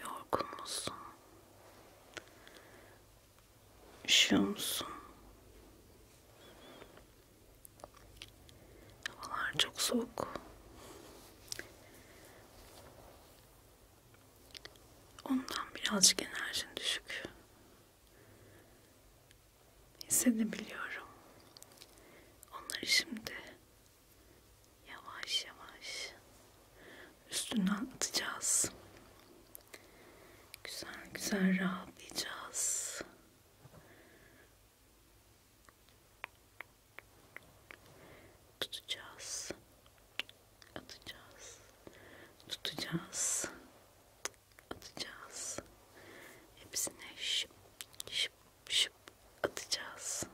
Yorgun musun? Üşüyor musun? Havalar çok soğuk. Ondan birazcık enerjin düşük. Hissedebiliyorum. Onları şimdi yavaş yavaş üstünden atacağız. Güzel güzel rahatlayacağız. Tutacağız. Atacağız. Tutacağız. Atacağız. Hepsine şıp şıp şıp atacağız.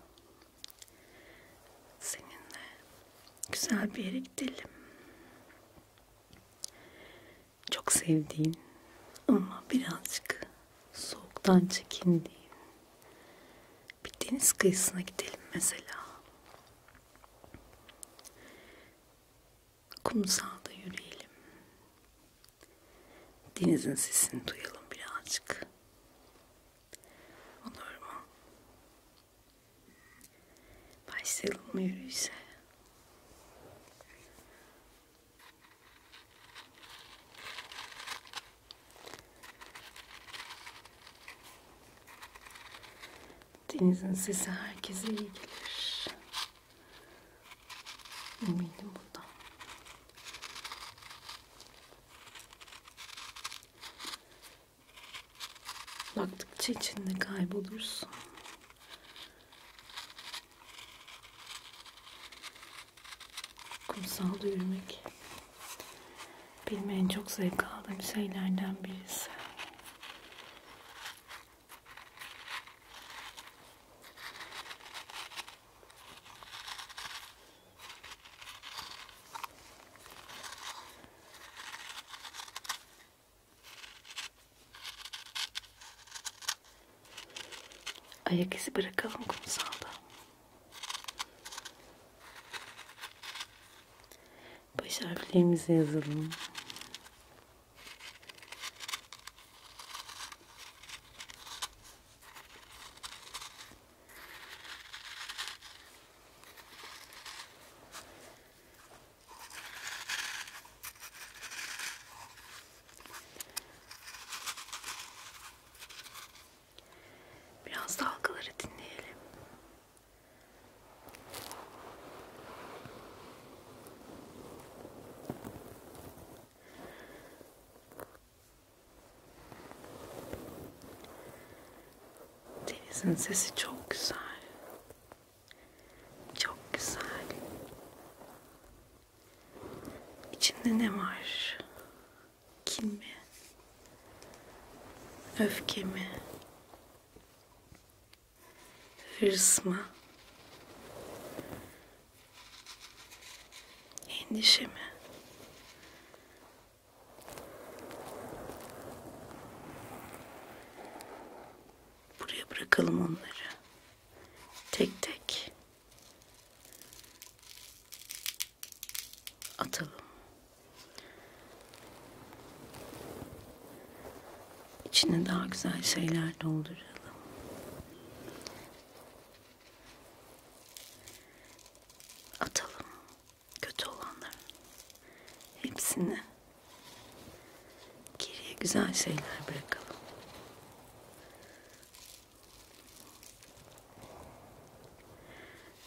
Seninle güzel bir yere gidelim. Çok sevdiğin ama birazcık soğuktan çekindiğin bir deniz kıyısına gidelim mesela. Kumsalda yürüyelim. Denizin sesini duyalım birazcık. Olur mu? Başlayalım mı yürüyüşe? Denizin sesi herkese iyi gelir. Eminim bundan. Baktıkça içinde kaybolursun. Kumsalda yürümek benim en çok zevk aldığım şeylerden birisi. Ayak izi bırakalım kumsalda. Baş harflerimizi yazalım. Biraz dalgaları dinleyelim. Denizin sesi çok güzel. Çok güzel. İçinde ne var? Kin mi? Öfke mi? Hırs mı? Endişe mi? Buraya bırakalım onları. Tek tek. Atalım. İçine daha güzel şeyler dolduralım. atalım kötü olanların hepsini geriye güzel şeyler bırakalım.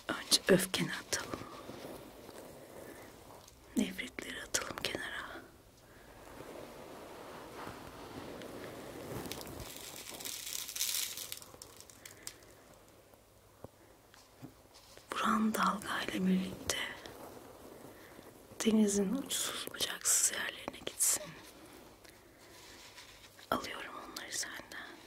Önce öfkeni atalım. Nefretleri atalım kenara. Buran dalga ile birlikte denizin uçsuz bucaksız yerlerine gitsin. Alıyorum onları senden.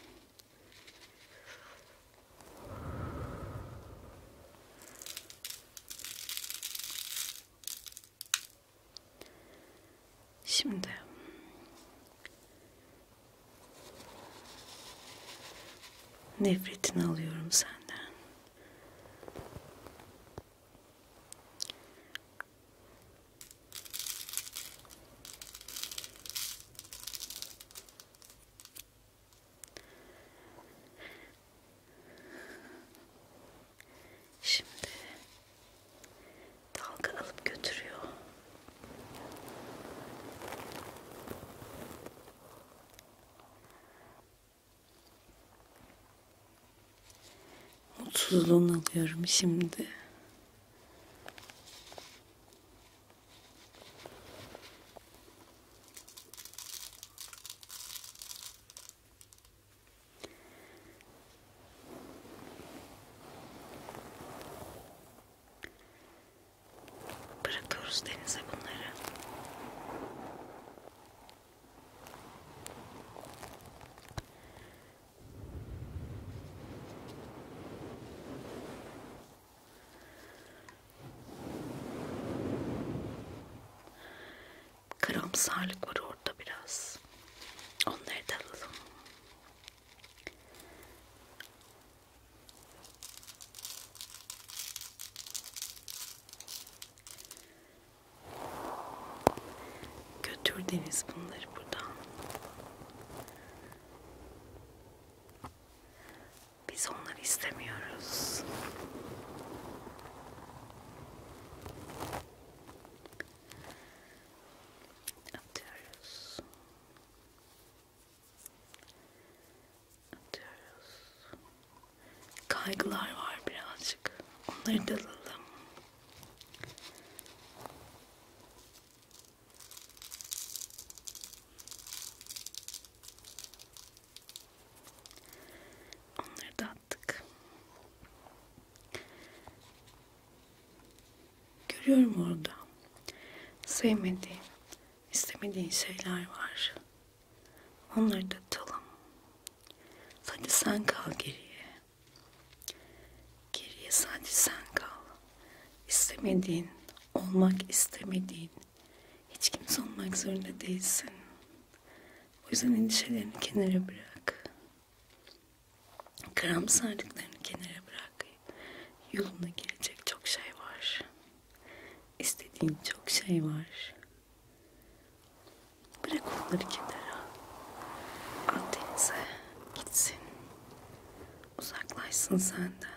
Şimdi Nefretini alıyorum senden. Şimdi dalga alıp götürüyor. Mutsuzluğunu alıyorum şimdi. Bırakıyoruz denize bunları. Karamsarlık var orada biraz. Onları da alalım. Götür Deniz bunları buradan. Biz onları istemiyoruz. Atıyoruz. Atıyoruz. Kaygılar var birazcık. Onları dalalım. Onları da attık. Görüyorum orada sevmediğim istemediğin şeyler var. Onları da atalım. Sadece sen kal geriye. Geriye sadece sen kal. İstemediğin, olmak istemediğin, hiç kimse olmak zorunda değilsin. O yüzden endişelerini kenara bırak. Karamsarlıklarını kenara bırak. Yoluna girecek çok şey var. İstediğim çok şey var. Bırak onları kenara. Akdeniz'e gitsin. Uzaklaşsın senden.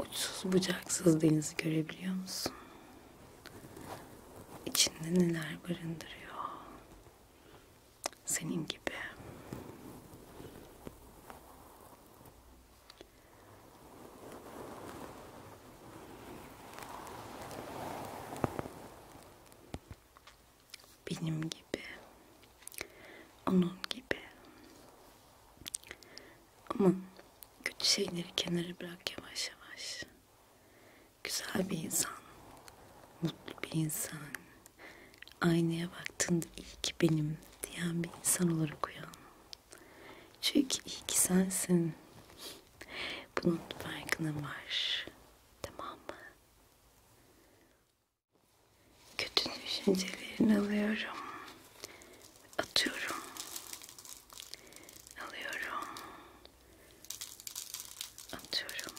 Uçsuz bucaksız denizi görebiliyor musun? İçinde neler barındırıyor? Senin gibi benim gibi, onun gibi. Ama kötü şeyleri kenara bırak yavaş yavaş. Güzel bir insan, mutlu bir insan, aynaya baktığında iyi ki benim diyen bir insan olarak uyan. Çünkü iyi ki sensin. Bunun farkına var. Tamam mı? kötü düşüncelerini alıyorum. Atıyorum. Alıyorum. Atıyorum.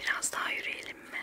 Biraz daha yürüyelim mi?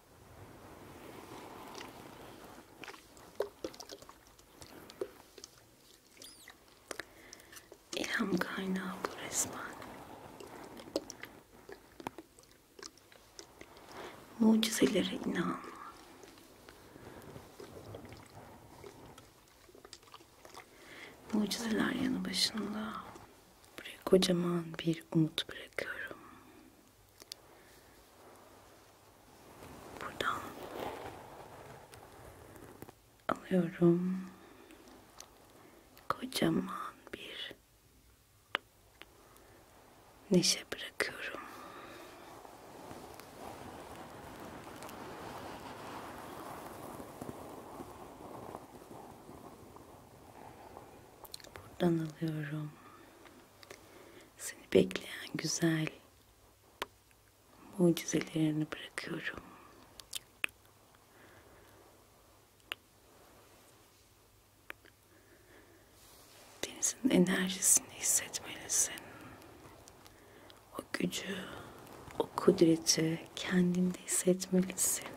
İlham kaynağı bu resmen. Mucizelere inan. Mucizeler yanı başında. Buraya kocaman bir umut bırakıyorum. Buradan alıyorum. Kocaman bir neşe bırakıyorum. Buradan alıyorum. Seni bekleyen güzel mucizelerini bırakıyorum. Denizin enerjisini hissetmelisin. O gücü, o kudreti kendinde hissetmelisin.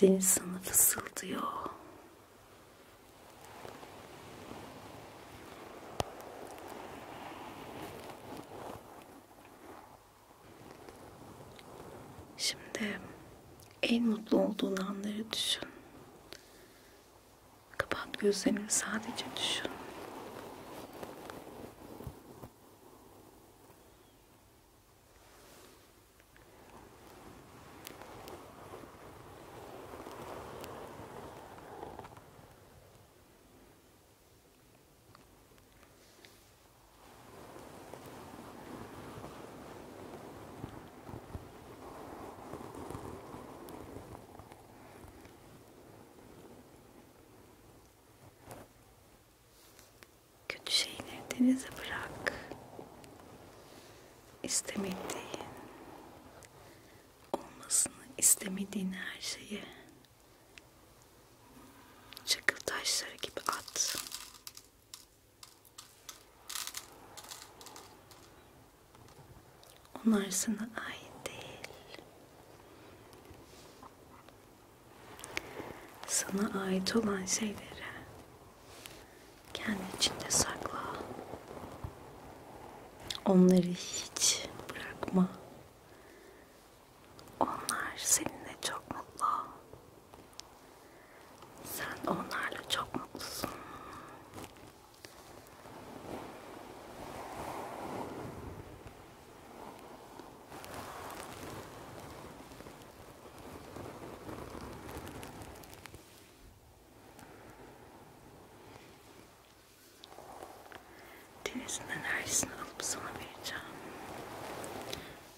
Deniz sana fısıldıyor. Şimdi en mutlu olduğun anları düşün. Kapat gözlerini sadece düşün. Kötü şeyleri denize bırak. İstemediğin, olmasını istemediğin her şeyi çakıl taşları gibi at. Onlar sana ait değil. Sana ait olan şeyleri kendi içinde sakla. Onları hiç bırakma. Onlar seninle çok mutlu. Sen onlarla çok mutlusun. Denizin enerjisini alıp sana vereceğim.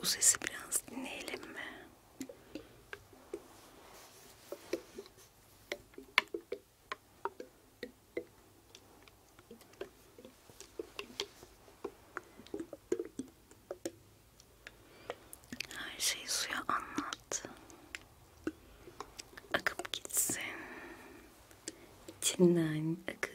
Bu sesi biraz dinleyelim mi? Her şeyi suya anlat. Akıp gitsin. İçinden akıp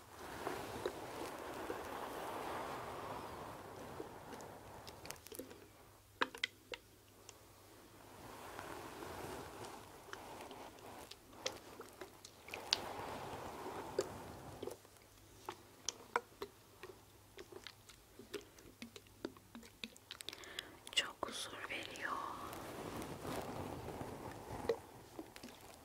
Çok huzur veriyor.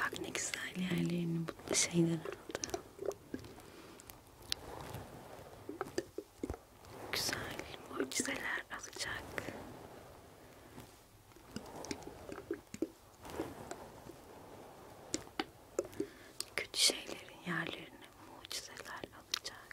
Bak ne güzel yerlerini bu şeyler aldı. Güzel mucizeler alacak. Kötü şeylerin yerlerini mucizeler alacak.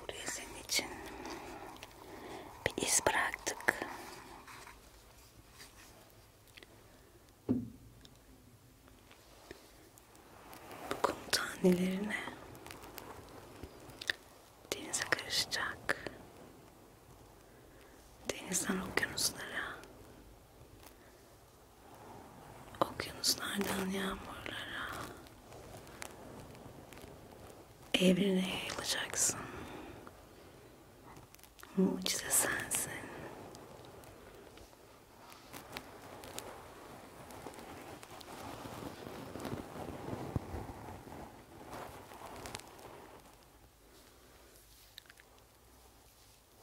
Buraya senin için bir iz bıraktık. Bu kum tanelerine denize karışacak denizden okyanuslara okyanuslardan yağmurlara evrene yayılacaksın mucize sensin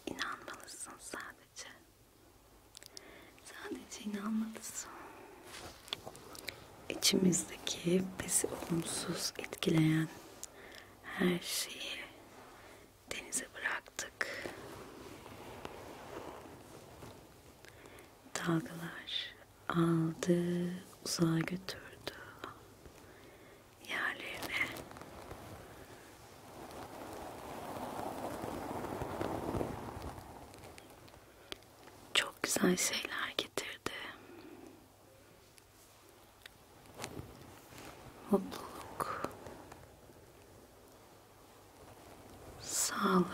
İnanmalısın sadece. Sadece inanmalısın. İçimizdeki bizi olumsuz etkileyen her şeyi denize bıraktık. Dalgalar aldı, uzağa götürdü yerlerine. Çok güzel şeyler getirdi. Mutluluk, sağlık,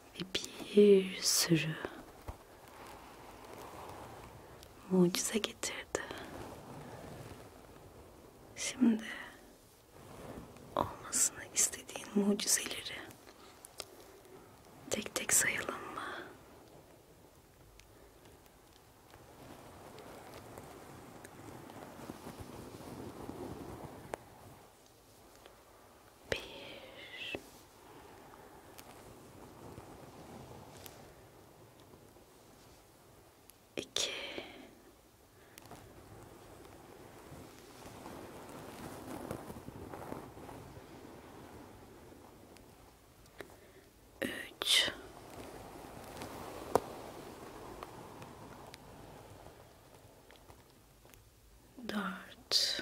ve bir sürü mucize getirdi. Şimdi olmasını istediğin mucizeleri tek tek sayalım bir iki üç dört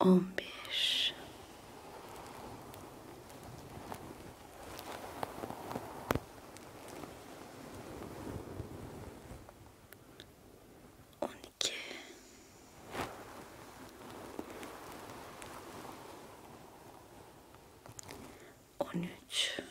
on bir on iki on üç on dört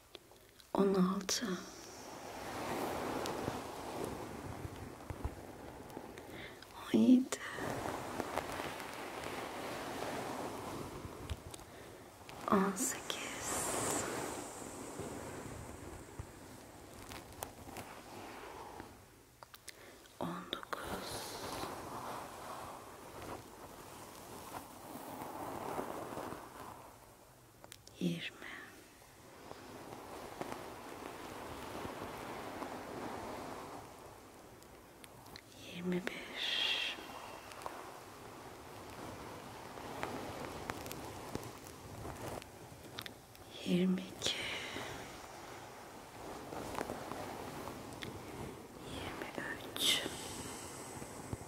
16 17 18 19 yirmi yirmi beş yirmi iki yirmi üç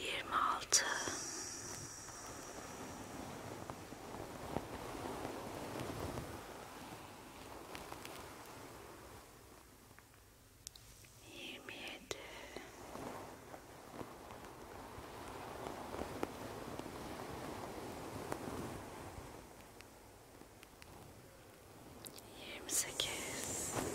yirmi altı yirmi yedi yirmi sekiz yirmi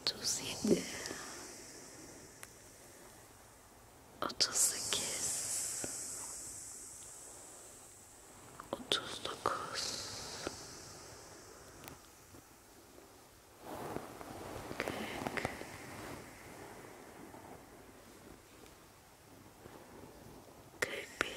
Otuz yedi. Otuz sekiz. Otuz dokuz. Kırk. Kırk bir.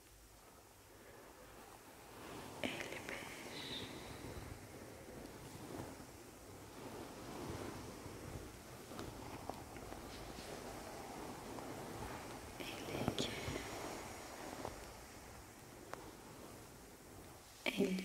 elli beş elli iki elli üç elli dört